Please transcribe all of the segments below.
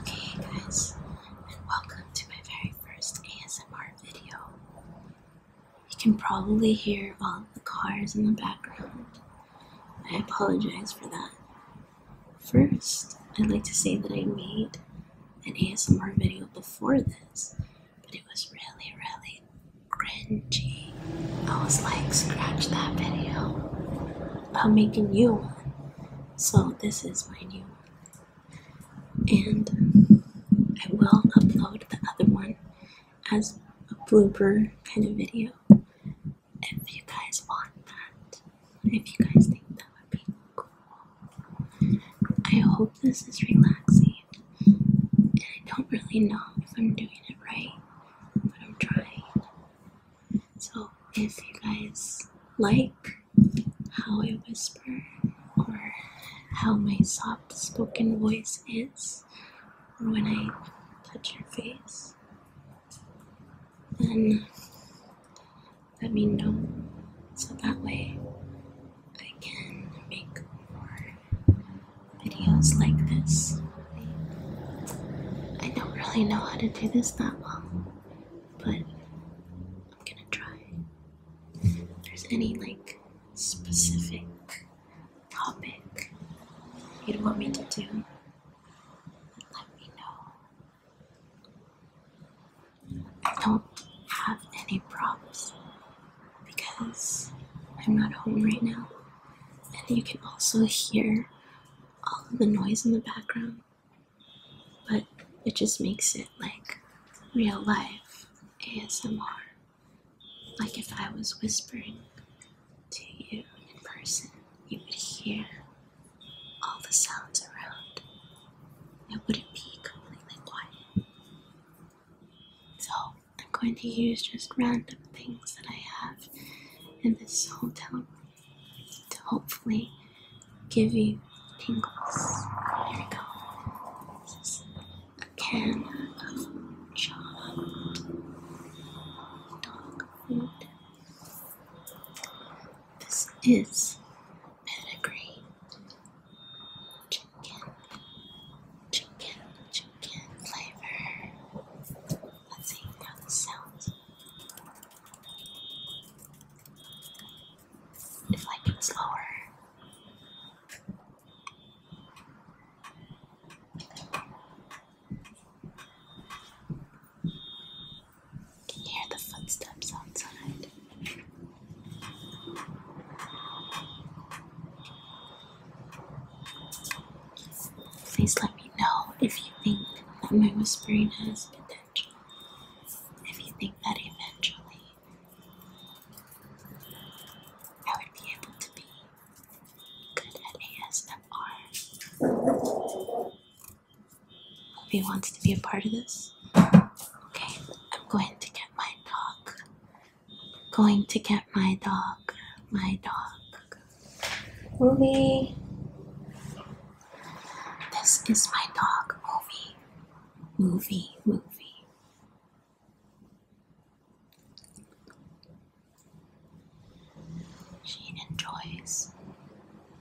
Okay, guys, and welcome to my very first ASMR video. You can probably hear all of the cars in the background. I apologize for that. First, I'd like to say that I made an ASMR video before this, but it was really, really cringy. I was like, scratch that video. I'm making you one. So this is my new one. And I will upload the other one as a blooper kind of video if you guys want that. If you guys think that would be cool. I hope this is relaxing. And I don't really know if I'm doing it right, but I'm trying. So if you guys like how I whisper or how my soft spoken voice is or when I touch your face, then let me know so that way I can make more videos like this. I don't really know how to do this that well but I'm gonna try. If there's any like specific topic you'd want me to do, let me know. I don't have any problems because I'm not home right now, and you can also hear all of the noise in the background, but it just makes it like real life ASMR. Like if I was whispering to you in person, you would hear all the sounds around. It wouldn't be completely quiet. So I'm going to use just random things that I have in this hotel room to hopefully give you tingles. Here we go. This is a can of dog food. This is pedigree chicken, chicken, chicken flavor. Let's see how this sounds. If like it was Can hear the footsteps outside? Please let me know if you think that my whispering has potential. If you think that eventually I would be able to be good at ASMR. If he wants to be a part of this, okay, I'm going to get my dog. going to get my dog, my dog movie. This is my dog movie. Movie, movie. She enjoys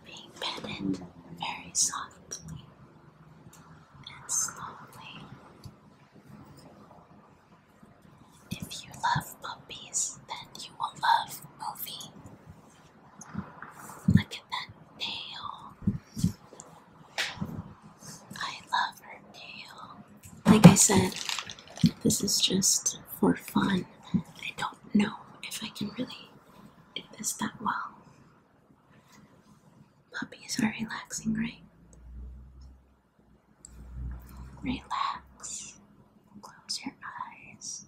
being petted very softly and slowly. If you love puppies, then you will love movie. Look at that nail. I love her nail. Like I said, this is just for fun. I don't know if I can really do this that well. Puppies are relaxing, right? Relax. Close your eyes.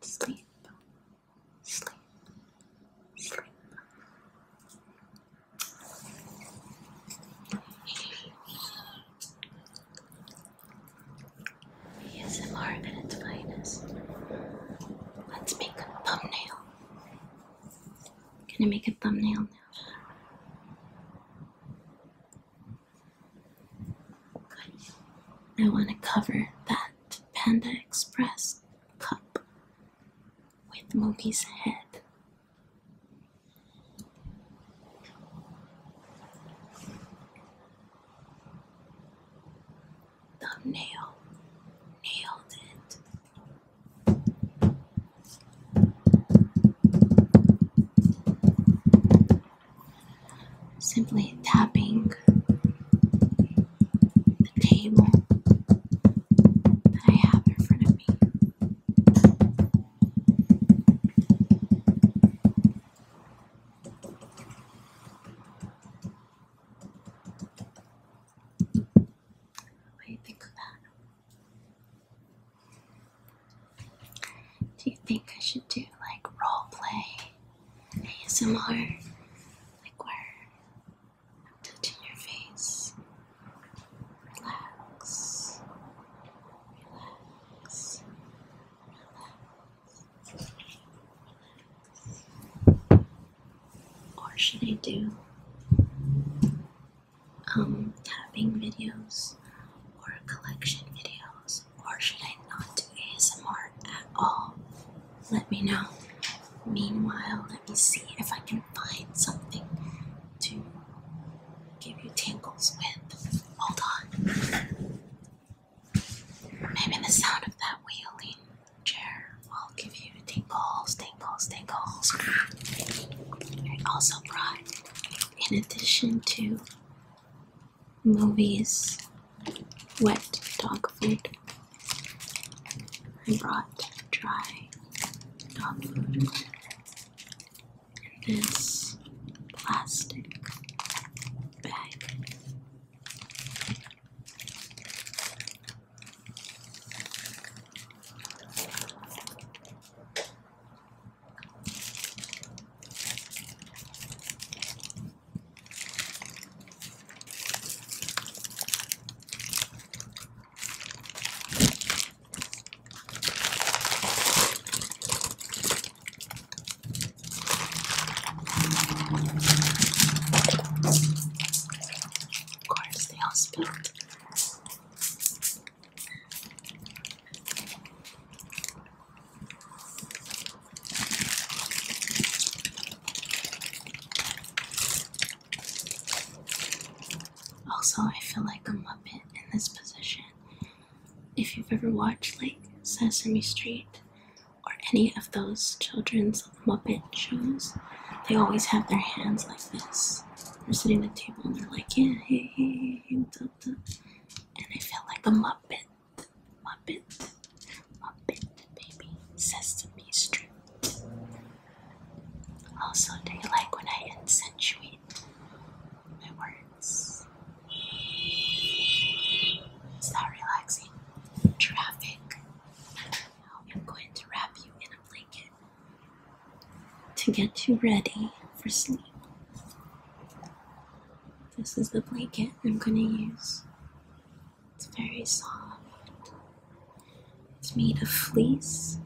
Sleep. Sleep. Sleep. its finest. Let's make a thumbnail. Can I make a thumbnail now? I want to cover that Panda Express cup with Mookie's head. Thumbnail nailed it. Simply tapping the table that I have in front of me. What do you think of do you think I should do like role play ASMR? Like where touching your face. Relax. Relax. Or should I do um, tapping videos or collection videos, or should I not do ASMR at all? Let me know. Meanwhile, let me see if I can find something to give you tangles with. Hold on. Maybe the sound of that wheeling chair will give you tingles, tingles, tingles. I also brought, in addition to movies, wet dog food, I brought dry dog food. This plastic bag. Of course, they all spilled. Also, I feel like a muppet in this position. If you've ever watched like Sesame Street or any of those children's Muppet shows, they always have their hands like this. They're sitting at the table and they're like, yeah, hey, hey, hey, what's up, what's up? And I feel like the Muppet, Muppet, Muppet, baby, Sesame Street. Also, do you like when I accentuate my words? Is that relaxing? Traffic. Now I'm going to wrap you in blanket to get you ready for sleep. This is the blanket I'm going to use. It's very soft, it's made of fleece.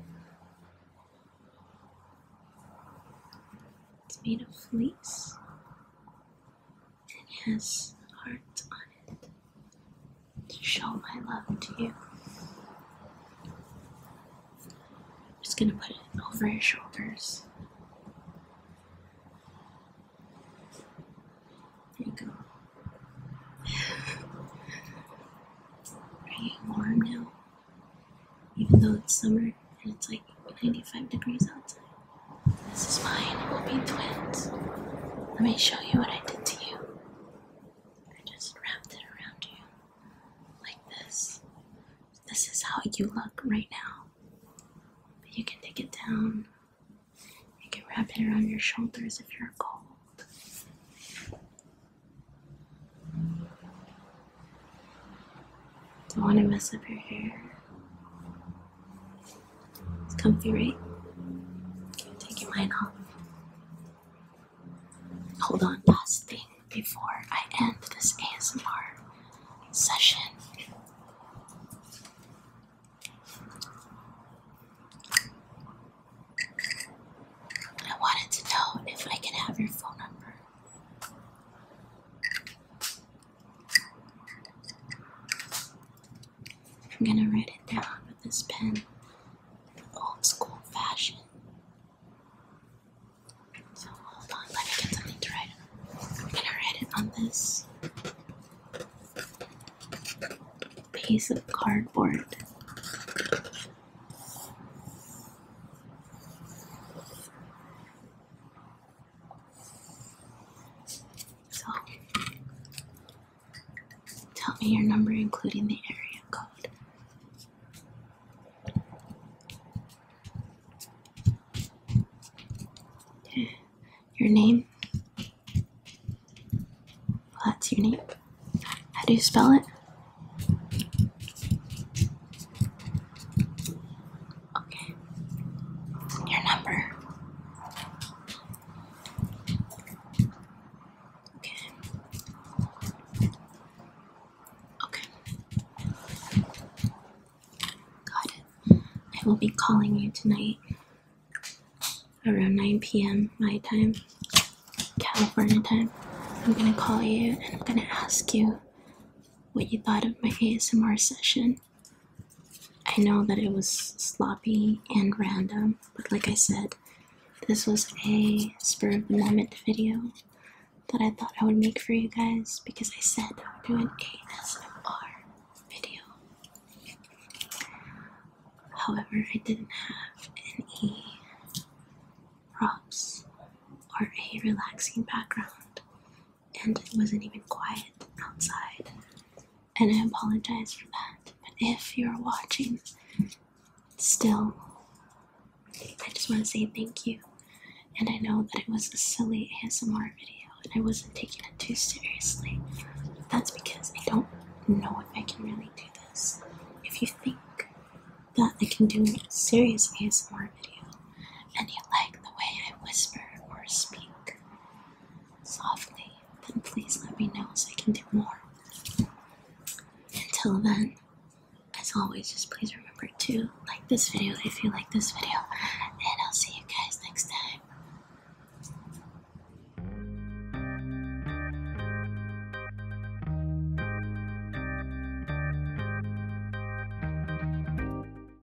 It's made of fleece and it has hearts on it to show my love to you. I'm just going to put it over your shoulders. There you go. Are you warm now? Even though it's summer and it's like 95 degrees outside. This is mine. We'll be twins. Let me show you what I did to you. I just wrapped it around you like this. This is how you look right now. But you can take it down. You can wrap it around your shoulders if you're cold. Don't want to mess up your hair. It's comfy, right? Take your mind off. Hold on, last thing before I end this ASMR session. I wanted to know if I can have your phone number. I'm gonna write it down with this pen, the old school fashion. So hold on, let me get something to write. I'm gonna write it on this piece of cardboard. So tell me your number, including the area code. Your name? that's your name. How do you spell it? Okay. Your number. Okay. Okay. Got I will be calling you tonight around 9 p.m. my time, California time. I'm gonna call you and I'm gonna ask you what you thought of my ASMR session. I know that it was sloppy and random, but like I said, this was a spur of the moment video that I thought I would make for you guys because I said I would do an ASMR video. However, I didn't have any props or a relaxing background and it wasn't even quiet outside. And I apologize for that. But if you're watching, still, I just want to say thank you. And I know that it was a silly ASMR video and I wasn't taking it too seriously. that's because I don't know if I can really do this. If you think that I can do a serious ASMR video and you like the way I whisper or speak, softly, then please let me know so I can do more. Until then, as always, just please remember to like this video if you like this video, and I'll see you guys next time.